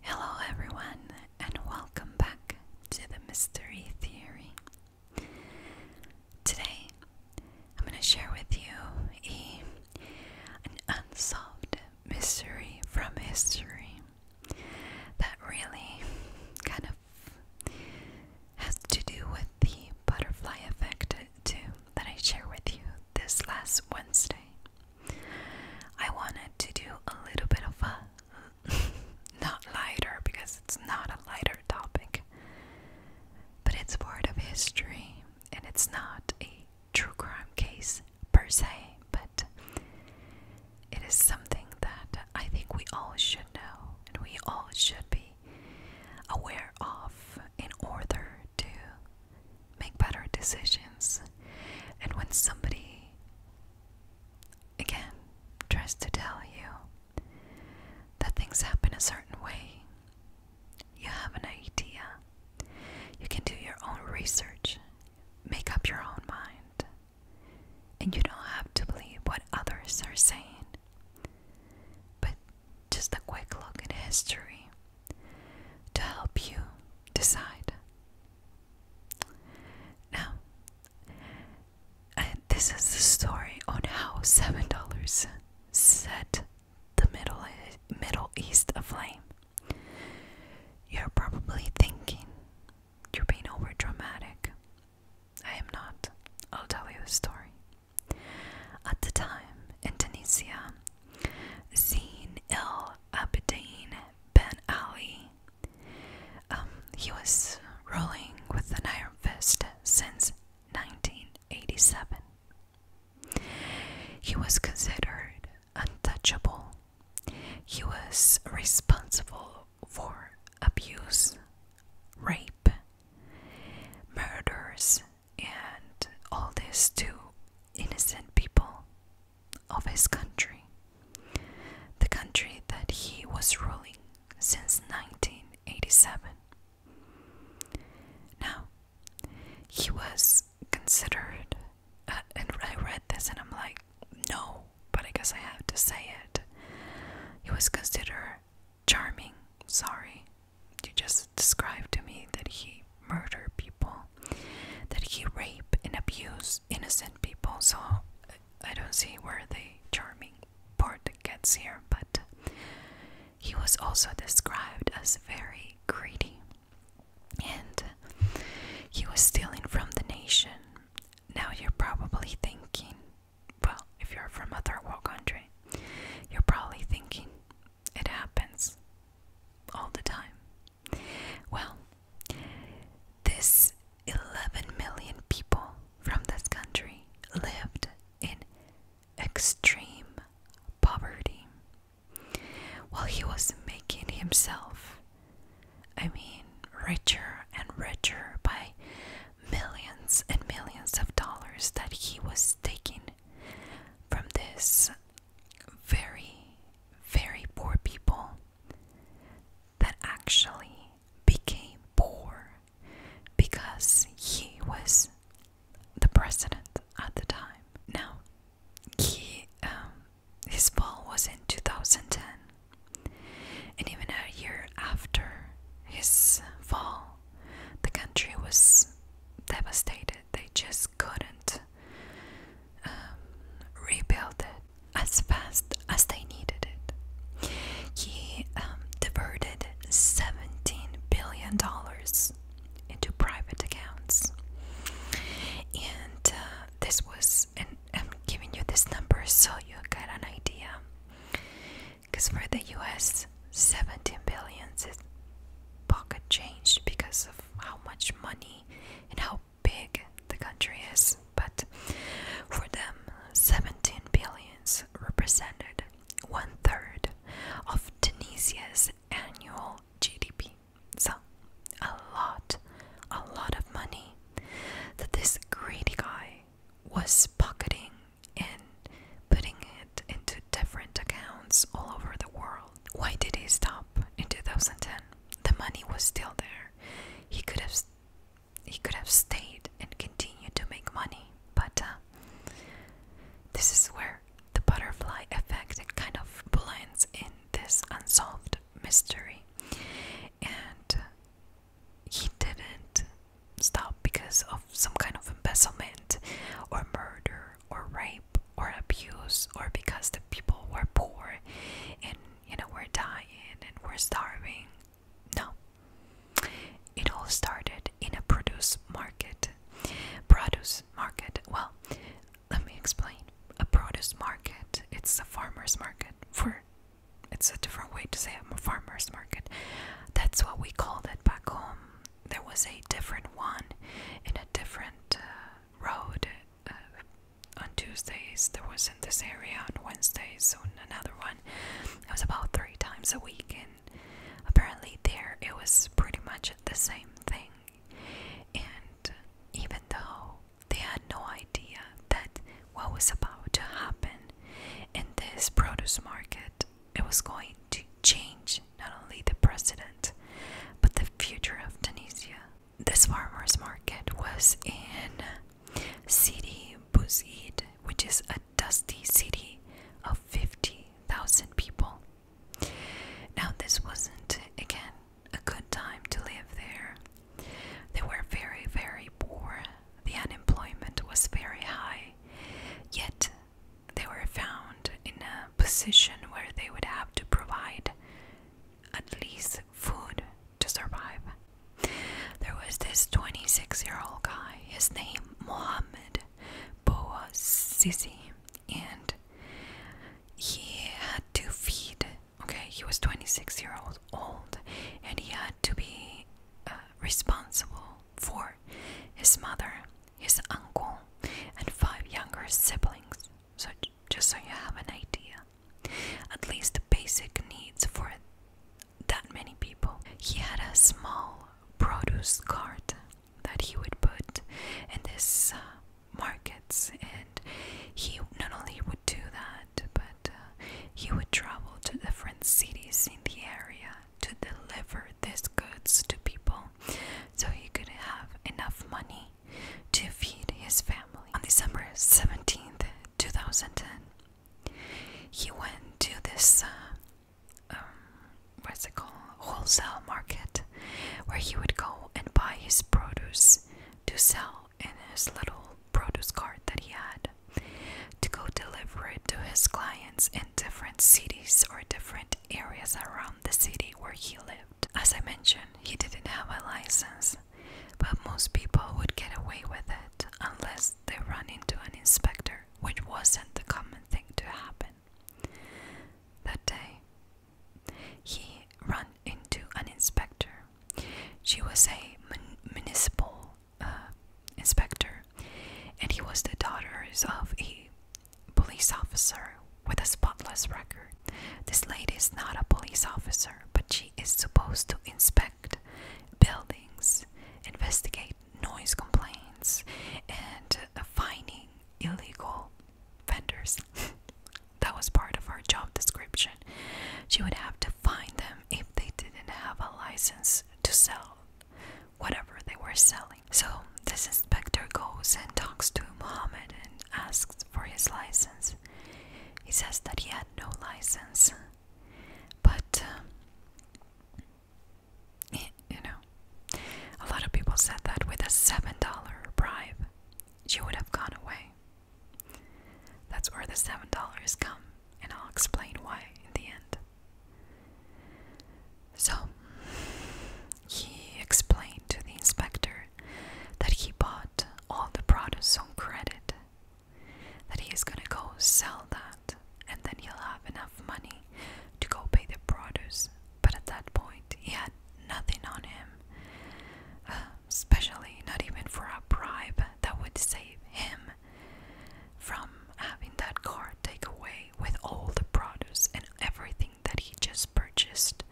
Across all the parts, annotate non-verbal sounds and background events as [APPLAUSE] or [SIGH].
Hello, everyone, and welcome back to the Mystery Theory. Today, I'm going to share with you a, an unsolved mystery from history that really kind of has to do with the butterfly effect, uh, too, that I shared with you this last Wednesday. I wanted to do a little bit of a [LAUGHS] not lighter because it's not a lighter topic, but it's part of history and it's not a true crime case per se, but it is something that I think we all should know and we all should be aware of in order to make better decisions. And when somebody, again, tries to tell you that things happen a certain way, you have an idea. You can do your own research, make up your own mind, and you don't have to believe what others are saying. But just a quick look at history to help you decide. Now, uh, this is the story on how seven dollars set the Middle Middle East aflame. You're probably thinking you're being over dramatic. I am not. I'll tell you the story. At the time in Tunisia, Zine il Abidine Ben Ali. Um, he was rolling with an iron fist since 1987. He was considered untouchable. He was responsible for abuse, rape, murders, and all this to innocent people of his country, the country that he was ruling since 1987. Now, he was considered, uh, and I read this and I'm like, no, but I guess I have to say it. He was considered charming. Sorry, you just described to me that he murdered people that he rape and abuse innocent people. So I don't see where the charming part gets here, but he was also described as very greedy and he was stealing from the nation. Now you're probably thinking, well, if you're from a third world country, you're probably thinking it happens all the time. Well, this 11 million people from this country lived in extreme poverty while he was making himself, I mean, richer and richer by millions and millions of dollars that he was taking from this very, very poor people that actually became poor because he was the president at the time. Now, he, um, his fall was in 2010, and even a year after his fall, the country was devastated. They just couldn't um, rebuild it as fast as they needed it. He um, diverted $17 billion into private accounts. And uh, this was, and I'm giving you this number so you get an idea. Because for the US, 17 billion is pocket change because of how much money and how big the country is, but for them, 17 billions represented one third of Tunisia's annual GDP. So, a lot, a lot of money that this greedy guy was pocketing and putting it into different accounts all over the world. Why did he stop in 2010? The money was still there. He could have he could have stayed and continued to make money, but uh, this is where the butterfly effect kind of blends in this unsolved mystery. And uh, he didn't stop because of some kind of embezzlement or murder or rape or abuse or because the people were poor and you know we're dying and we're starving no it all started in a produce market produce market well let me explain a produce market it's a farmers market for it's a different way to say I'm a farmer's market. That's what we called it back home. There was a different one in a different uh, road uh, on Tuesdays. There was in this area on Wednesdays, so another one. It was about three times a week, and apparently there it was pretty much the same thing. And even though they had no idea that what was about to happen in this produce market, it was going to change not only the precedent but the future of Tunisia this farmers market was in City Bouzid, which is a dusty city of 50,000 people. Now, this wasn't, again, a good time to live there. They were very, very poor. The unemployment was very high. Yet, they were found in a position where they would have to provide at least food to survive. There was this 26 year old guy, his name Mohammed Boa and he had to feed, okay, he was 26 year old old and he had to be uh, responsible for his mother, his uncle, and five younger siblings so just so you have an idea at least the basic needs for that many people he had a small produce cart that he would put in this uh, markets and he not only would do that but uh, he would travel to different cities in the area to deliver these goods to people so he could have enough money to feed his family. On December seventeenth, two 2010, he went to this, uh, um, what's it called, wholesale market where he would go and buy his produce to sell in his little produce cart that he had to go deliver it to his clients in different cities or different areas around the city where he lived. As I mentioned, he didn't have a license, but most people would get away with it unless they run into an inspector, which wasn't the common thing to happen. That day, he ran into an inspector. She was a municipal uh, inspector, and he was the daughter of a police officer with a spotless record. This lady is not a police officer, but she is supposed to inspect buildings, investigate noise complaints, and uh, finding illegal vendors. [LAUGHS] that was part of our job description. She would have to find them if they didn't have a license to sell whatever they were selling. So this inspector goes and talks to Muhammad and asks for his license he says that he had no license, but um, you know, a lot of people said that with a seven dollar bribe, she would have gone away. That's where the seven dollars come, and I'll explain why in the end. So, he explained to the inspector that he bought all the products on credit, that he is gonna go sell that, and then he'll have enough money to go pay the producers. But at that point, he had nothing on him, uh, especially not even for a bribe that would save him from having that car take away with all the produce and everything that he just purchased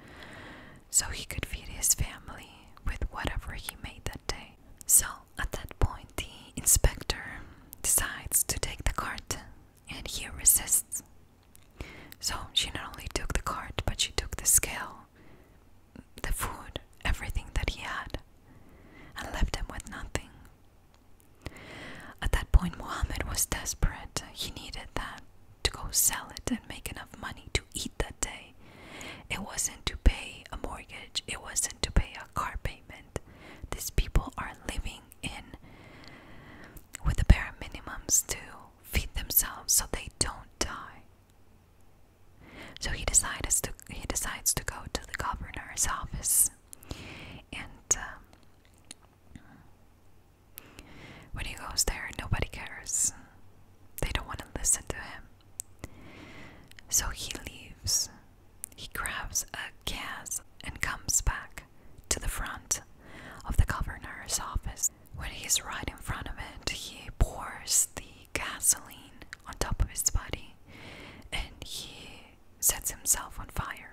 so he could feed his family with whatever he made that day. So at that point, the inspector decides to take the cart and he resists. So she not only took the cart, but she took the scale, the food, everything that he had, and left him with nothing. At that point, Muhammad was desperate. He needed that to go sell it and make enough money to eat that day. It wasn't to pay a mortgage, it wasn't to pay a car payment. These people are living in with the bare minimums to feed themselves so they don't die. So he decides to he decides to go to the governor's office and um, when he goes there, nobody cares. They don't want to listen to him. So he leaves. He grabs a gas and comes back to the front of the governor's office. When he's right in front of it, he pours the gasoline on top of his body and he sets himself on fire.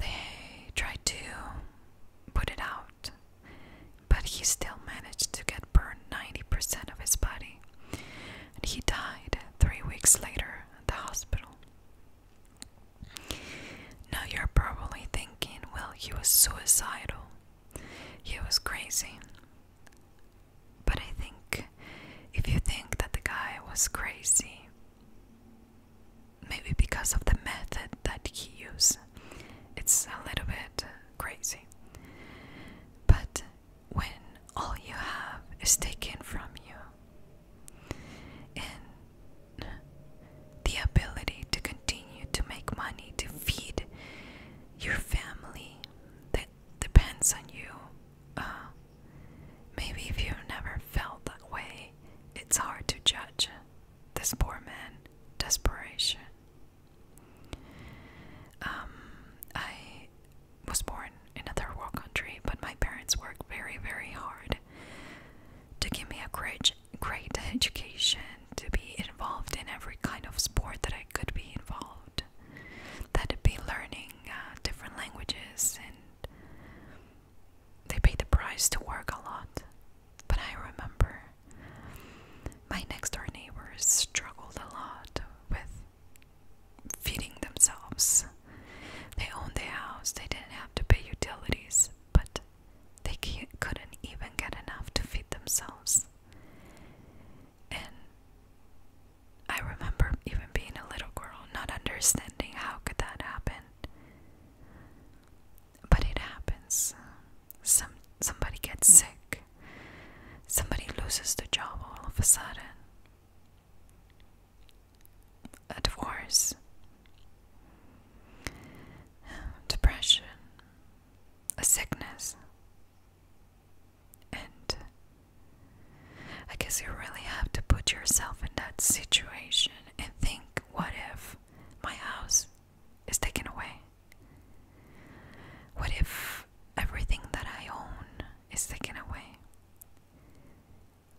They tried to put it out, but he still managed to get burned 90% of his body, and he died three weeks later at the hospital. Now you're probably thinking, well, he was suicidal, he was crazy. But I think if you think that the guy was crazy, maybe because of the method that he used. It's a little bit uh, crazy. But when all you have is taken from you, and the ability to continue to make money to feed your family that depends on you. Uh, maybe if you never felt that way, it's hard to judge this poor man desperation. Um, I was born in a third world country, but my parents worked very, very hard to give me a great, great [LAUGHS] education, to be involved in every kind of sport that I could be involved, that would be learning uh, different languages and they paid the price to work a lot. But I remember my next door neighbors struggled a lot with feeding themselves. They owned their house, they didn't have to pay utilities, but they couldn't even get enough to feed themselves. And I remember even being a little girl, not understanding how could that happen but it happens. Some somebody gets hmm. sick. Somebody loses their job all of a sudden. A divorce. Depression. A sickness. And I guess you really have to put yourself in that situation and think what if my house is taken away? What if everything that I own is taken away?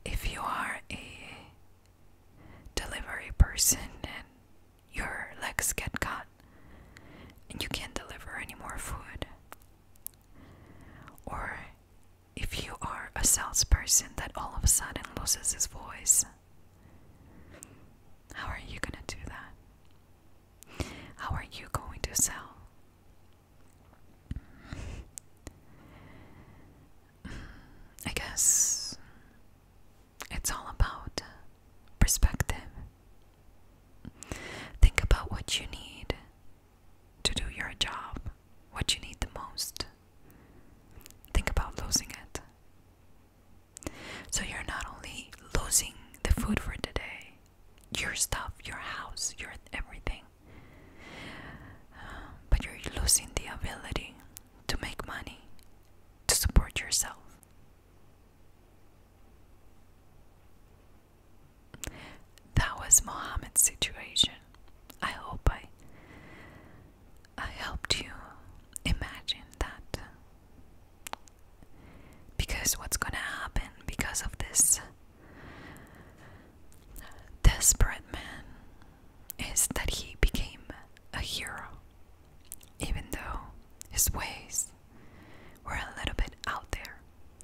If you are a delivery person and your legs get cut and you can't deliver any more food, or if you are a salesperson that all of a sudden loses his voice how are you going to do that? How are you going to sell? I guess it's all about perspective. Think about what you need to do your job, what you need the most. Think about losing it. So you're not only losing the food for today, your stuff, your house, your everything, but you're losing the ability to make money, to support yourself. That was Mohammed's situation. I hope I I helped you imagine that. Because what's gonna happen because of this desperate man is that he became a hero, even though his ways were a little bit out there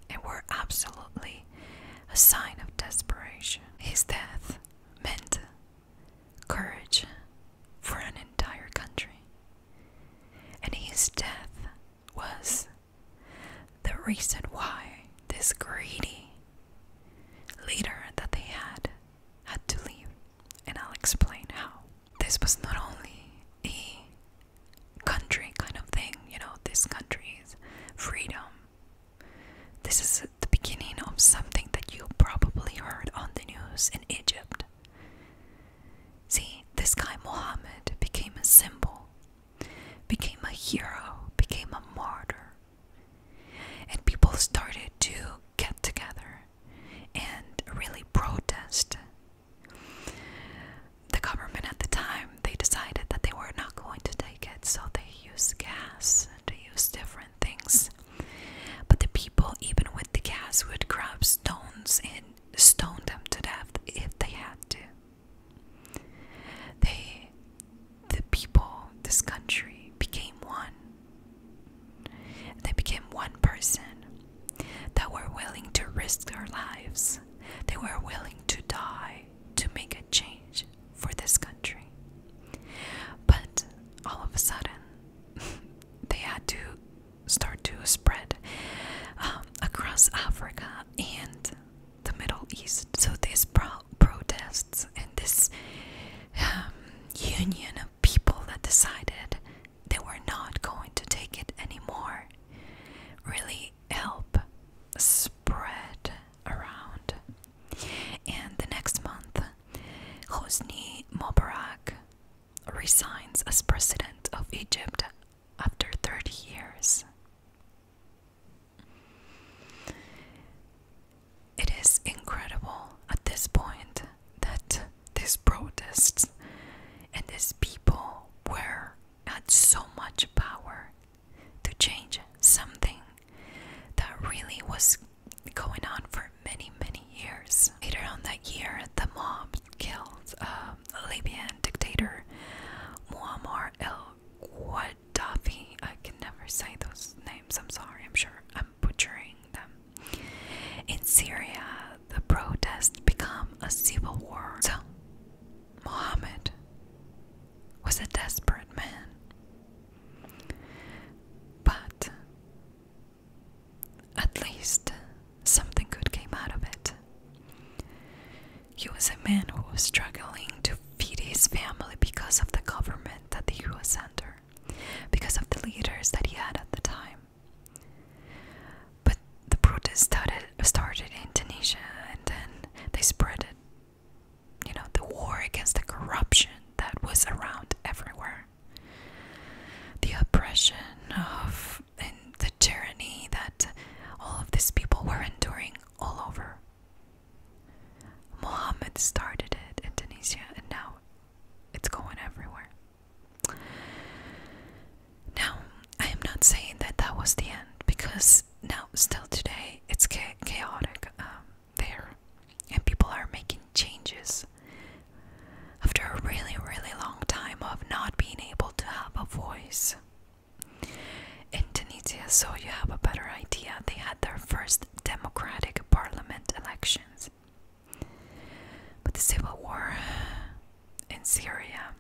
and were absolutely a sign of desperation. His death meant courage for an entire country. And his death was the reason why this greedy leader that they had had to leave. And I'll explain how. This was not only a country kind of thing, you know, this country's freedom. This is the beginning of something that you probably heard on the news in Egypt. See, this guy Mohammed became a symbol, became a hero, became a martyr. And people started to get together and really protest. The government at the time, they decided that they were not going to take it, so they used gas to use different things. But the people, even with the gas, would grab stones and stone them to death if they had to. They, the people, this country became one. They became one person that were willing to risk their lives. They were willing to die to make a change for this country. But all of a sudden, [LAUGHS] they had to start to spread um, across Africa and the Middle East. So these pro protests and this um, union of people that decided they were not going to take it anymore really help spread around. And the next month, Hosni Mubarak resigns as president of Egypt after 30 years. It is incredible at this point that these protests and these people were had so much power to change something that really was going on for many, many years. Later on that year, the mob killed um, Libyan dictator Muammar el-Gaddafi. I can never say those names. I'm sorry. I'm sure I'm butchering them. In Syria, the protests become a civil war. So, Mohammed was a desperate man. But at least something good came out of it. He was a man who was struggling to feed his family because of the government that he was under, because of the leaders that he had at the time. But the protest started, started in Tunisia and then they spread it. You know, the war against the corruption that was around everywhere the oppression of and the tyranny that all of these people were enduring all over. Muhammad started it in Tunisia and now it's going everywhere. Now, I am not saying that that was the end because now, still today, it's chaotic. Um, there, and people are making changes. After a really, really long time of not being able to have a voice. In Tunisia, so you have a better idea, they had their first democratic parliament elections. But the civil war in Syria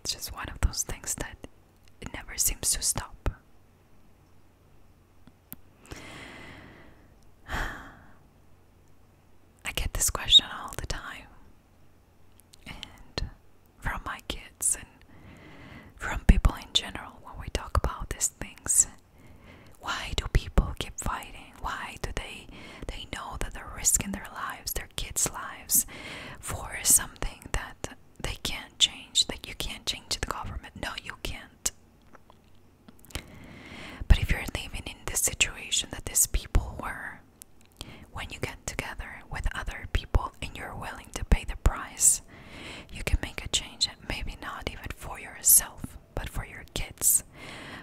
it's just one of those things that it never seems to stop. I get this question all the time, and from my kids and from people in general when we talk about these things. Why do people keep fighting? Why do they they know that they're risking their lives, their kids' lives, for something that they can't change? That you can't change the government. No, you can't. But if you're living in this situation that these people were, when you get together with other people and you're willing to pay the price, you can make a change, maybe not even for yourself, but for your kids,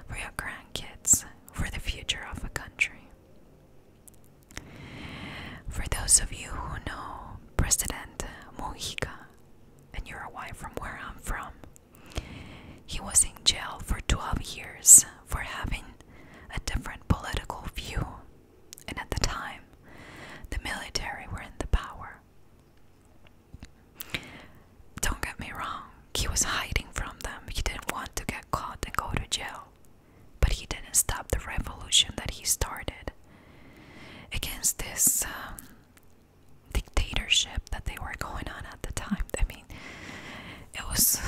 for your grandkids, for the future of a country. For those of you who know President Mujica, and you're away from where I'm from, he was in jail for 12 years for having a different political view, and at the time, the military were in the power. Don't get me wrong, he was hiding from them. He didn't want to get caught and go to jail. But he didn't stop the revolution that he started. Against this um, dictatorship that they were going on at the time. I mean, it was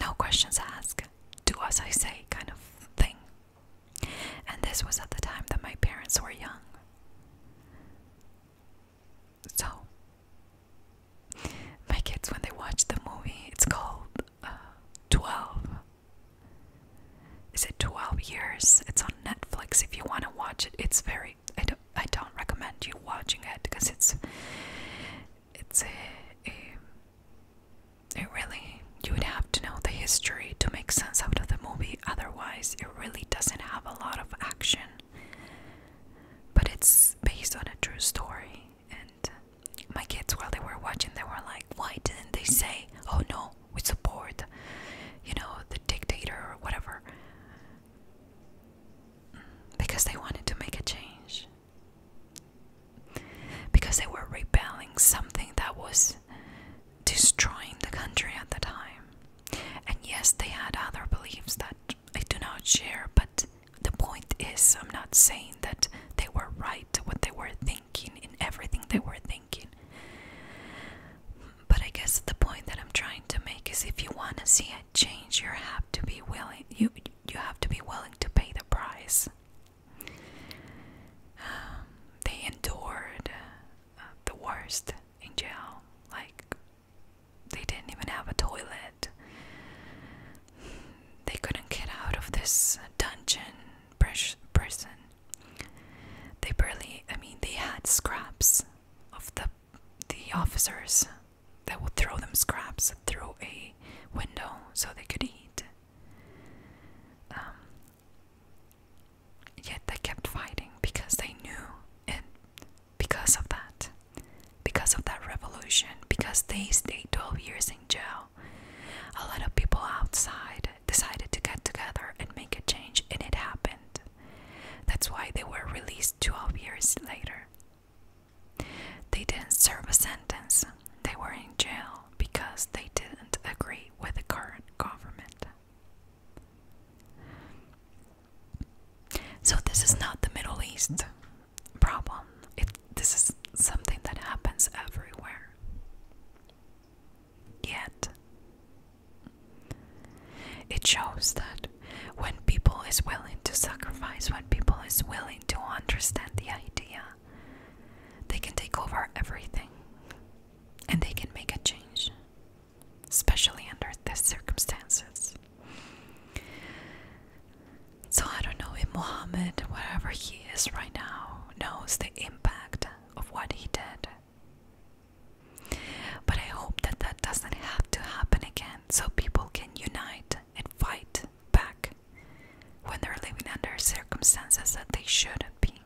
no questions asked, do as I say kind of thing. And this was at the time that my parents were young. So, my kids, when they watch the movie, it's called uh, 12. Is it 12 years? It's on Netflix if you want to watch it. It's very I don't I don't recommend you watching it because it's it's a, a it really you would have to know the history to make sense out of the movie otherwise it really doesn't have a lot of action. But it's based on a true story and my kids while they were watching they were like why didn't they say oh no we support you know the dictator or whatever because they wanted to make a change because they were rebelling something that was destroying the country at the time and yes they had other beliefs that i do not share but the point is i'm not saying that they were right what they were thinking in everything they were thinking but I guess the point that I'm trying to make is if you want to see a change, you have to be willing. You you have to be willing to pay the price. Um, they endured uh, the worst in jail. Like they didn't even have a toilet. They couldn't get out of this dungeon prison they barely, I mean, they had scraps of the the officers that would throw them scraps through a window so they could eat. Um, yet they kept fighting because they knew it because of that, because of that revolution, because they stayed 12 years in jail. A lot of people outside decided to get together and make a change, and it happened. That's why they were released 12 years later. They didn't serve a sentence, they were in jail because they didn't agree with the current government. So, this is not the Middle East problem. It, this is something that happens everywhere. Yet, it shows that when people is willing to sacrifice, when people is willing to understand the idea, they can take over everything and they can make a change, especially under these circumstances. So I don't know if Muhammad, wherever he is right now, knows the impact of what he did but I hope that that doesn't have to happen again so people can unite and fight back when they're living under circumstances that they shouldn't be.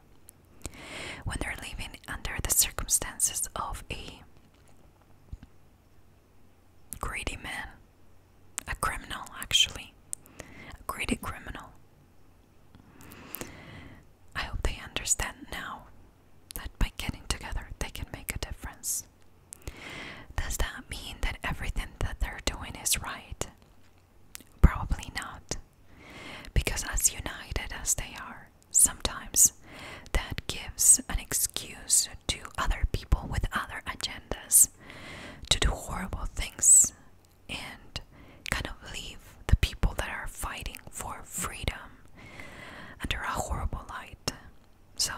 When they're living under the circumstances of a greedy man, a criminal actually, a greedy criminal. I hope they understand now that by getting together they can make a difference. Does that mean that everything that they're doing is right? Probably not. Because as united as they are, sometimes that gives an excuse to other people with other agendas to do horrible things and kind of leave the people that are fighting for freedom under a horrible light. So,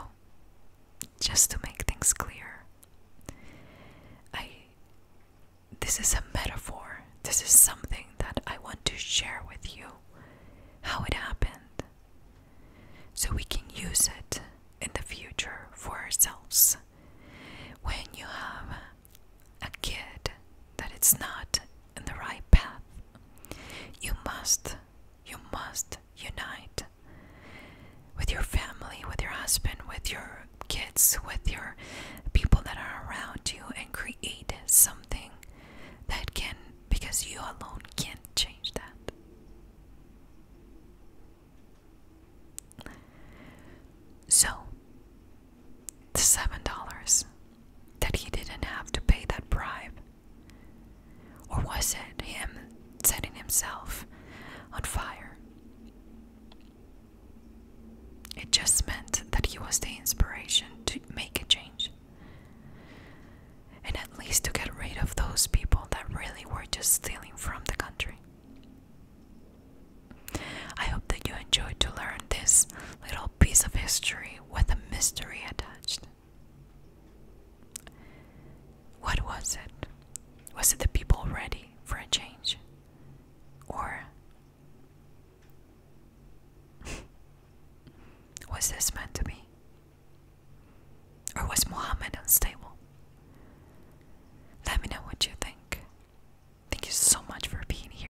just to make things clear, I this is a metaphor. This is something that I want to share with you how it happened so we can use it in the future for ourselves. When you have a kid that it's not in the right path. You must, you must unite with your family, with your husband, with your kids, with your people that are around you and create something that can, because you alone can't change that. So, the seven dollars that he didn't have to pay that bribe? Or was it him setting himself on fire? It just meant that he was the inspiration to make a change. And at least to get rid of those people that really were just stealing from the country. I hope that you enjoyed to learn this little piece of history with a mystery attached. What was it? Was it the people ready for a change? Or [LAUGHS] was this meant to be? Or was Muhammad unstable? Let me know what you think. Thank you so much for being here.